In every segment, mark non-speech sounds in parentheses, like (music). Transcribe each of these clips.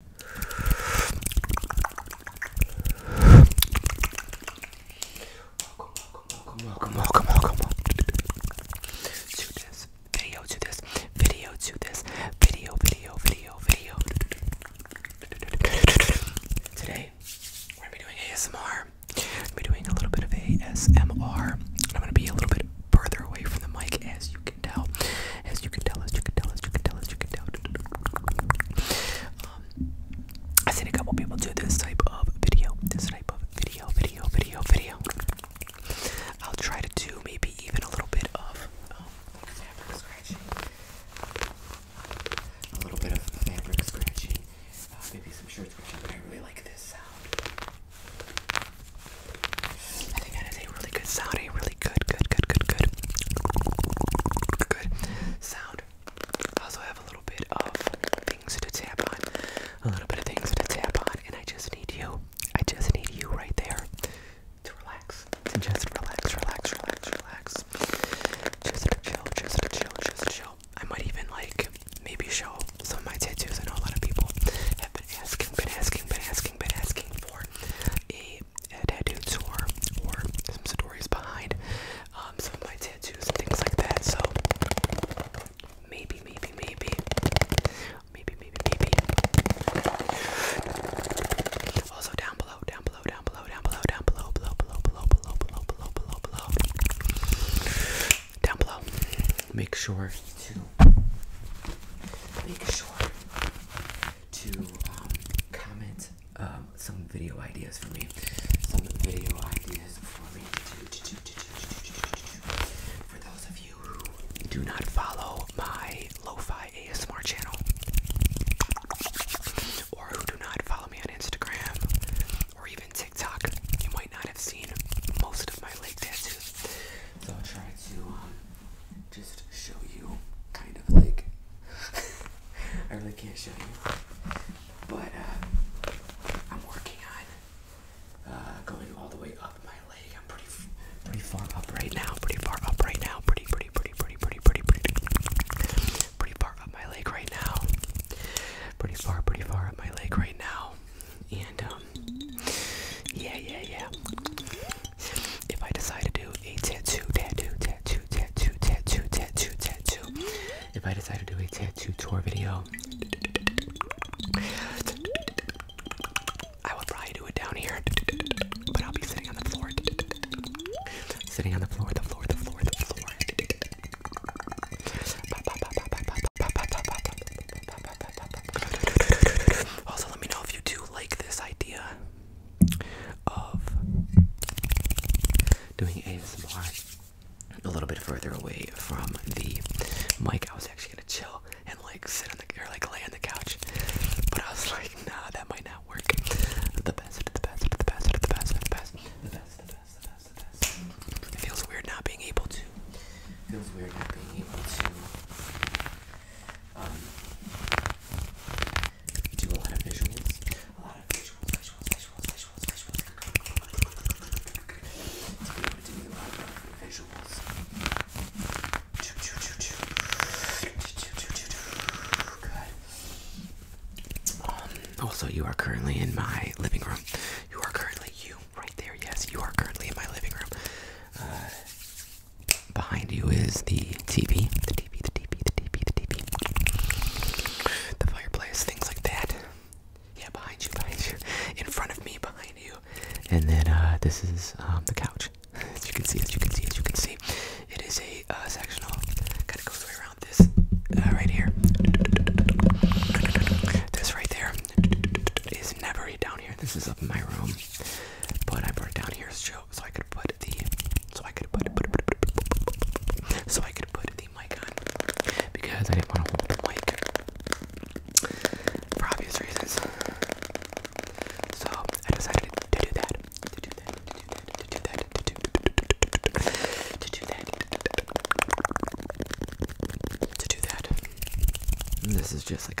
Welcome, welcome, welcome, welcome, welcome to this video, to this video, to this video, video, video, video. Today, we're gonna be doing ASMR. I'm doing a little bit of ASMR. I'm gonna be a little bit further away from the mic as you as you can tell, as you can tell, as you can tell, as you can tell. Um, I've seen a couple people do this type of video, this type of video, video, video, video. I'll try to do maybe even a little bit of um, fabric scratching, a little bit of fabric scratching, uh, maybe some shirt scratching, but I really like this sound. I think that is a really good sound, a really good, good, good, good, good, good sound. I also have a little bit of things to tap on, a little bit of things to tap on, and I just need you. I just need you right there to relax, to just relax, relax, relax, relax. Just chill, just chill, just chill. I might even like maybe show some of my tattoos. I know a lot of people have been asking, been asking, been asking, been asking for a a, uh, a tattoo tour or some stories behind um, some of my tattoos and things like that. So maybe, maybe, maybe, maybe, maybe, maybe. Also down below, down below, down below, down below, down below, below, below, below, below, below, below, below, below. Down below. Make sure to make sure to comment some video ideas for me. Some video ideas for me for those of you who do not follow my lo ASMR channel or who do not follow me on Instagram or even TikTok, you might not have seen most of my leg tattoos. So try to um, just show you, kind of like. I really can't show you, but uh, I'm working on uh, going all the way up my leg. I'm pretty, pretty far up right now. Pretty far up right now. Pretty, pretty, pretty, pretty, pretty, pretty, pretty, pretty far up my leg right now. Pretty far, pretty far up my leg right now. And um, yeah, yeah, yeah. If I decide to do a tattoo, tattoo, tattoo, tattoo, tattoo, tattoo, tattoo. If I decide to do a tattoo tour video, I will probably do it down here. But I'll be sitting on the floor. Sitting on the floor, the floor, the floor, the floor. Also, let me know if you do like this idea of doing ASMR a little bit further away from the mic. I was actually gonna chill and like sit on the or like lay on the couch, but I was like, nah, that might not work. The best, the best, the best, the best, the best, the best, the best, the best, the best. feels weird not being able to um, do a lot of visuals, also, you are currently in my living room. You are currently you right there. Yes, you are currently in my living room. Uh, Behind you is the TV, the TV, the TV, the TV, the TV, the fireplace, things like that. Yeah, behind you, behind you, in front of me, behind you, and then uh, this is um, the couch. As you can see, as you can see, as you can see, it is a uh, sectional. Kind of goes way around this uh, right here. This right there is never down here. This is up in my room, but I brought it down here so so I could put the so I could put put, put, put, put, so I could put the mic on because I didn't want to hold the mic for obvious reasons. So I decided to do that. To do that. To do that. To do that. To do that. To do that. This is just like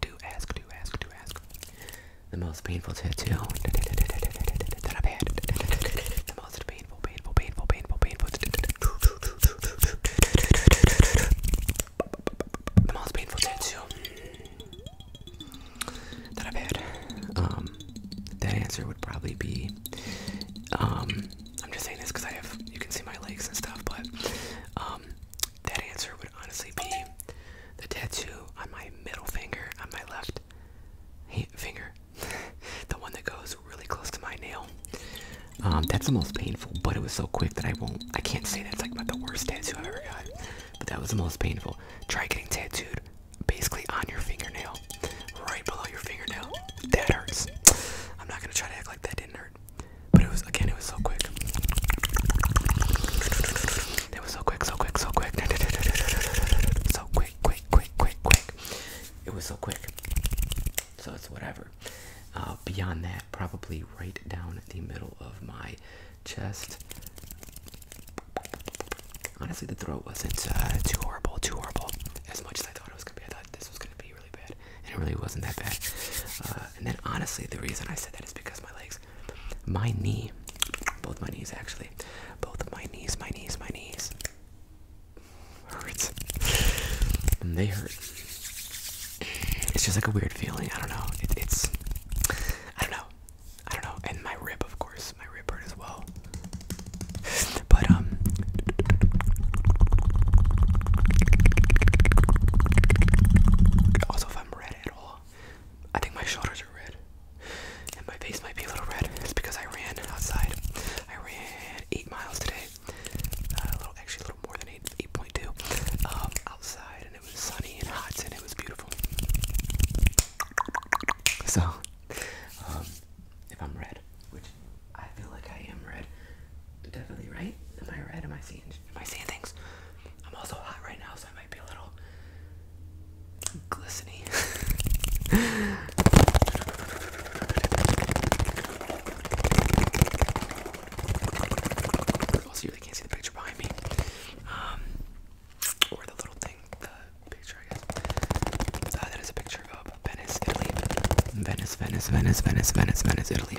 do ask, do ask, do ask. The most painful tattoo that I've had. The most painful, painful, painful, painful, painful. The most painful tattoo that I've had. Um, that answer would probably be. Um, I'm just saying this because I have. You can see my legs and stuff, but um, that answer would honestly be the tattoo on my middle finger, on my left finger, (laughs) the one that goes really close to my nail. Um, that's the most painful, but it was so quick that I won't. I can't say that's like about the worst tattoo I've ever got, but that was the most painful. Try getting tattooed basically on your fingernail, right below your fingernail. That hurts. I'm not gonna try to act like that didn't hurt. But it was again, it was so quick. It was so quick, so quick, so quick. So quick, quick, quick, quick, quick. It was so quick. So it's whatever. Uh, beyond that, probably right down the middle of my chest. Honestly, the throat wasn't uh, too horrible, too horrible. As much as I thought it was gonna be, I thought this was gonna be really bad, and it really wasn't that bad. Uh, and then, honestly, the reason I said that is because my legs, my knee, both my knees actually, both of my knees, my knees, my knees hurts. and they hurt. It's just like a weird feeling. I don't know. it's, I don't know. I don't know. And my rib, of course, my rib hurt as well. But um. Also, red at all. I think my shoulders are red. And my face might be a little red. It's because I ran outside. I ran eight miles today. Uh, a little, actually, a little more than eight, eight point two. Um, outside, and it was sunny and hot, and it was beautiful. So, um, if I'm red, which I feel like I am red, definitely right. Am I red? Am I seeing Am I seeing things? I'm also hot right now, so I might be a little glistening. (laughs) also, you really can't see the picture behind me. Um, or the little thing, the picture, I guess. So that is a picture of Venice, Italy. Venice, Venice, Venice, Venice, Venice, Venice, Italy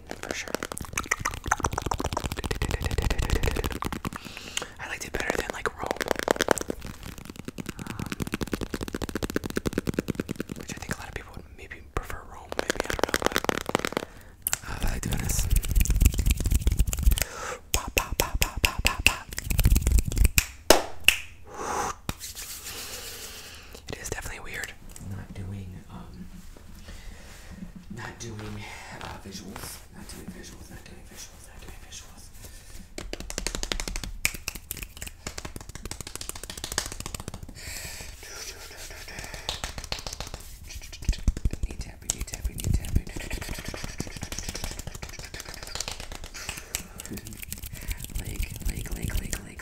for sure. I liked it better than like Rome, um, which I think a lot of people would maybe prefer Rome. Maybe I don't know, uh, I liked Venice. It is definitely weird not doing not doing visuals. Not doing visuals. Not doing visuals. Not doing visuals. Knee tapping, knee tapping, knee tapping. Leg, leg, leg, leg, leg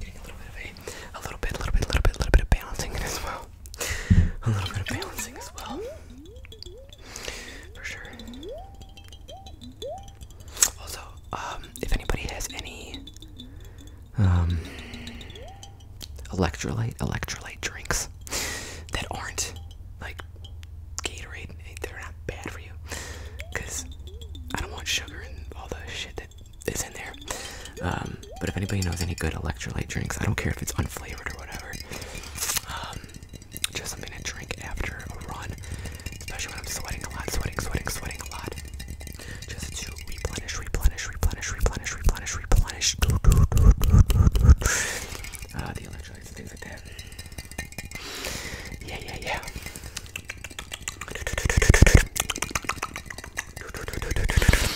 Getting a little bit of a, a little bit, a little bit, a little bit, a little bit of balancing as well. A little bit of balancing as well. For sure. Also, um, if anybody has any um electrolyte electrolyte drinks that aren't like Gatorade, they're not bad for you. Because I don't want sugar and all the shit that is in there. Um, but if anybody knows any good electrolyte drinks, I don't care if it's unflavored or whatever. Um, just something to drink after a run. Especially when I'm sweating a lot, sweating, sweating, sweating a lot. Just to replenish, replenish, replenish, replenish, replenish, replenish. Uh, the electrolytes and things like that. Yeah, yeah, yeah.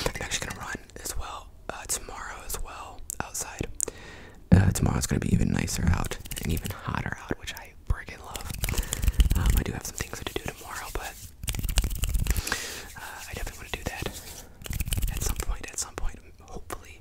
I'm actually gonna run as well uh, tomorrow as well outside. Uh, tomorrow's gonna be even nicer out and even hotter out, which I freaking love. Um, I do have some things to do tomorrow, but uh, I definitely want to do that at some point. At some point, hopefully,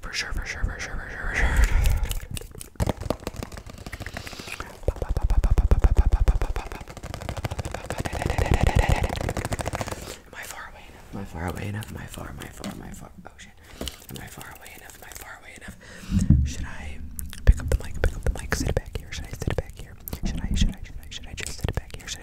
For sure, for sure, for sure, for sure, for sure. Am I far away enough? Am I far away enough? Am I far, am I far, am I far? Oh shit. Am I far away enough? Am I far away enough? Should I pick up the mic, pick up the mic, sit back here? Should I sit it back here? Should I, should I, should I, should I just sit it back here? Should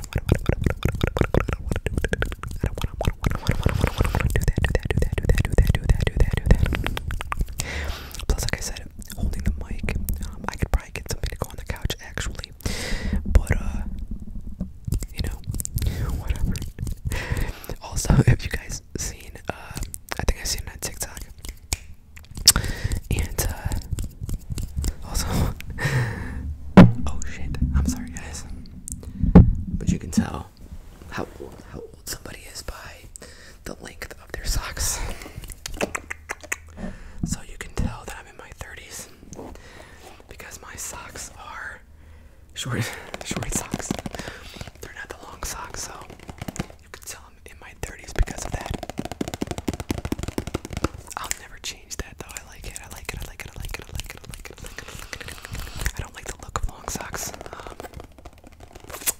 Plus, like I said, holding the mic, um, I could probably get somebody to go on the couch actually, but uh, you know, (laughs) whatever. Also, if (laughs) you guys seen, uh, I think I've seen it on TikTok. And uh, also (laughs) Oh shit. I'm sorry guys. But you can tell how old how old somebody is by the length of their socks. So you can tell that I'm in my 30s because my socks are short (laughs) short socks. They're not the long socks, so you can tell I'm in my 30s because of that. I'll never I like it. I like it. I like it. I like it. I like it. I like it. I like it. I, don't like the look of long socks, um,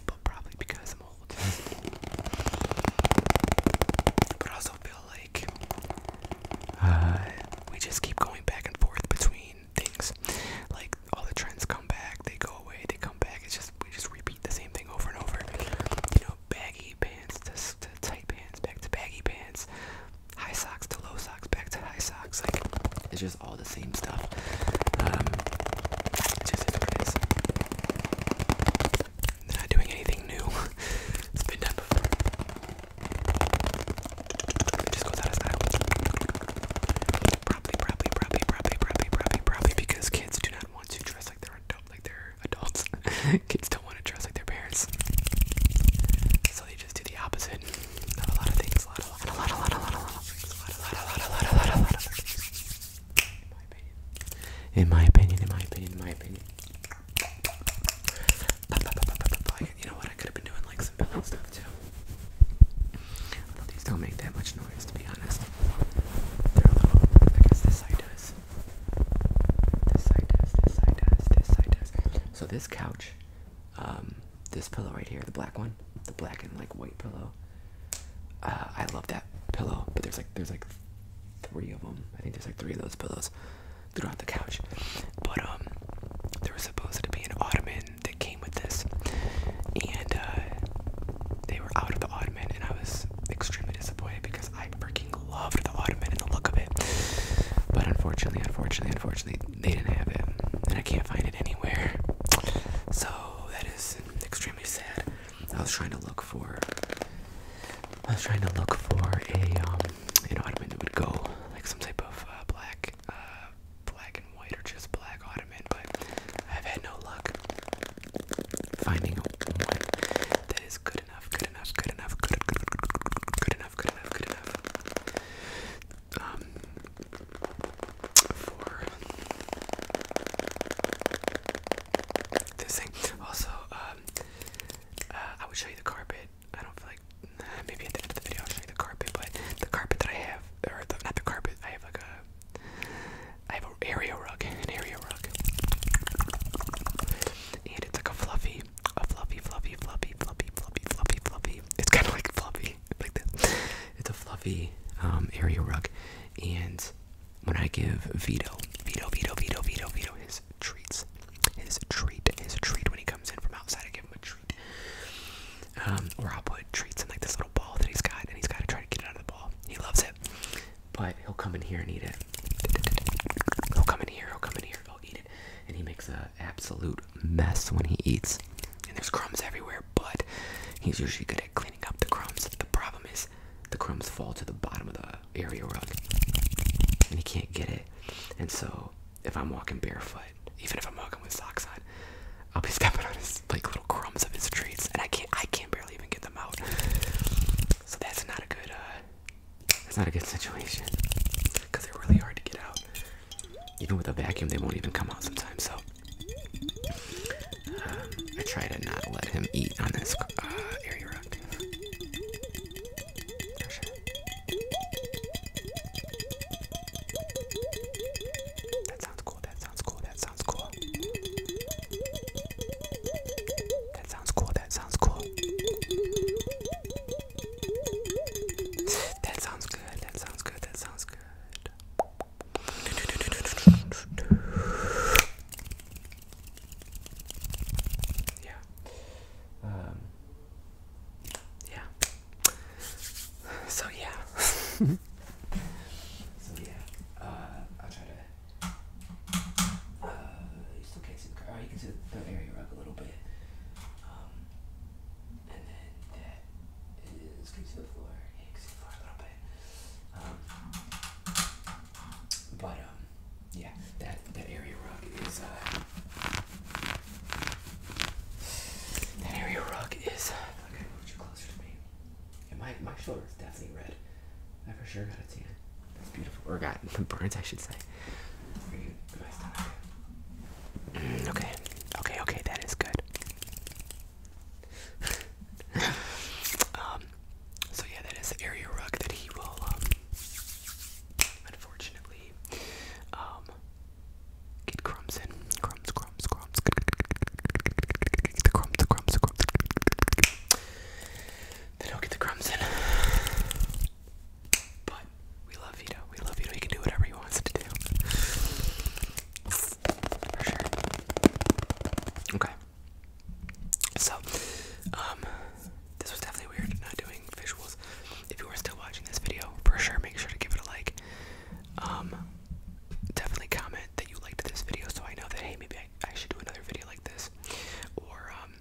but probably because I'm old. But also feel like uh, we just keep going back and forth between things. Like all the trends come back, they go away, they come back. It's just we just repeat the same thing over and over. You know, baggy pants to tight pants, back to baggy pants high socks to low socks, back to high socks. it's just all the same stuff. Um, is. They're not doing anything new. (laughs) it's been done before. It just goes out of style. Probably, probably, probably, probably, probably, probably, probably because kids do not want to dress like they're adults. (laughs) kids don't want to dress like their parents, so they just do the opposite of a lot of things. A lot, a lot, a lot, a lot, a lot, a lot of things. A lot, a lot, a lot, a lot, a lot, a lot of things. In my opinion. In my opinion. In my opinion. You know what? I could have been doing like some pillow stuff too. Although these don't make that much noise, to be honest. They're a little. I guess this side does. This side does. This side does. This side does. So this couch um, this pillow right here, the black one, the black and like white pillow. Uh, I love that pillow, but there's like there's like three of them. I think there's like three of those pillows throughout the couch. But um, there was supposed to be an ottoman that came with this, and uh, they were out of the ottoman, and I was extremely disappointed because I freaking loved the ottoman and the look of it. But unfortunately, unfortunately, unfortunately, they didn't have it, and I can't find it anywhere. So that is extremely sad. I was trying to look for, I was trying to look for a um, an ottoman that would go like some type of uh, black, uh, black and white, or just black ottoman, but I've had no luck finding one that is good enough, good enough, good enough, good enough, good enough, good enough um, for this thing. Also, um, uh, I would show you the carpet. I don't feel like maybe at the end of the video I'll show you the carpet, but the carpet that I have, or the, not the carpet, I have like a, I have an area rug, an area rug, and it's like a fluffy a fluffy, fluffy, fluffy, fluffy, fluffy, fluffy, fluffy. It's kind of like fluffy, (laughs) like this. It's a fluffy um, area rug, and when I give Vito, Vito, Vito, Vito, Vito, his treats, his treat, his treat when he comes in from outside, I give him a treat. Um, or I'll put treats in like this little ball that he's got, and he's got to try to get it out of the ball. He loves it, but he'll come in here and eat it. He'll come in here, he'll come in here, he'll eat it, and he makes a absolute mess when he eats, and there's crumbs everywhere, but he's usually good at cleaning up the crumbs. The problem is the crumbs fall to the bottom of the area rug, and he can't get it. And so, if I'm walking barefoot, even if I'm walking with socks on, I'll be (laughs) stepping on his like little crumbs of his treats, and I can't, I can't barely even get them out. So that's not a good, uh, that's not a good situation because they're really hard to get out. Even with a vacuum, they won't even come out sometimes. So uh, I try to not let him eat on this uh, area rock. That sounds cool. That sounds cool. That sounds cool. That sounds cool. That sounds cool. That sounds good. That sounds good. That sounds good. Yeah. Um, yeah. So yeah. (laughs) so yeah. Uh, I'll try to. Uh, you still can't see the car. Oh, you can see the area rug a little bit. Um, and then that is to the floor. Yeah, floor a little bit. Um, but um, yeah, that that area rug is uh, that area rug is. Uh, okay, move you closer to me. Yeah, my my shoulder is definitely red. I for sure got a tan. That's beautiful. Or got (laughs) burns, I should say. Mm, okay, okay, okay, that is good. (laughs) Um, so yeah, that is the area rug that he will, um, unfortunately, um, get crumbs in. Crumbs, crumbs, crumbs. The crumbs, the crumbs, the crumbs. Then he'll get the crumbs in. But we love Vito. We love Vito. He can do whatever he wants to do. For sure. Okay. So, um, this was definitely weird not doing visuals. If you are still watching this video, for sure make sure to give it a like. Um, definitely comment that you liked this video so I know that, hey, maybe I, I should do another video like this. Or, um,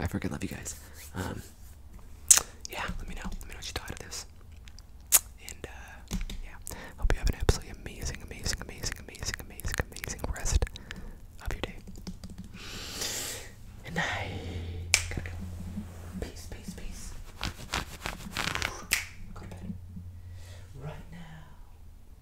I freaking love you guys. Um, yeah, let me know. Let me know what you thought of this. And uh, yeah, hope you have an absolutely amazing, amazing, amazing, amazing, amazing, amazing rest of your day. And I Peace, peace, peace. Go to bed. Right now.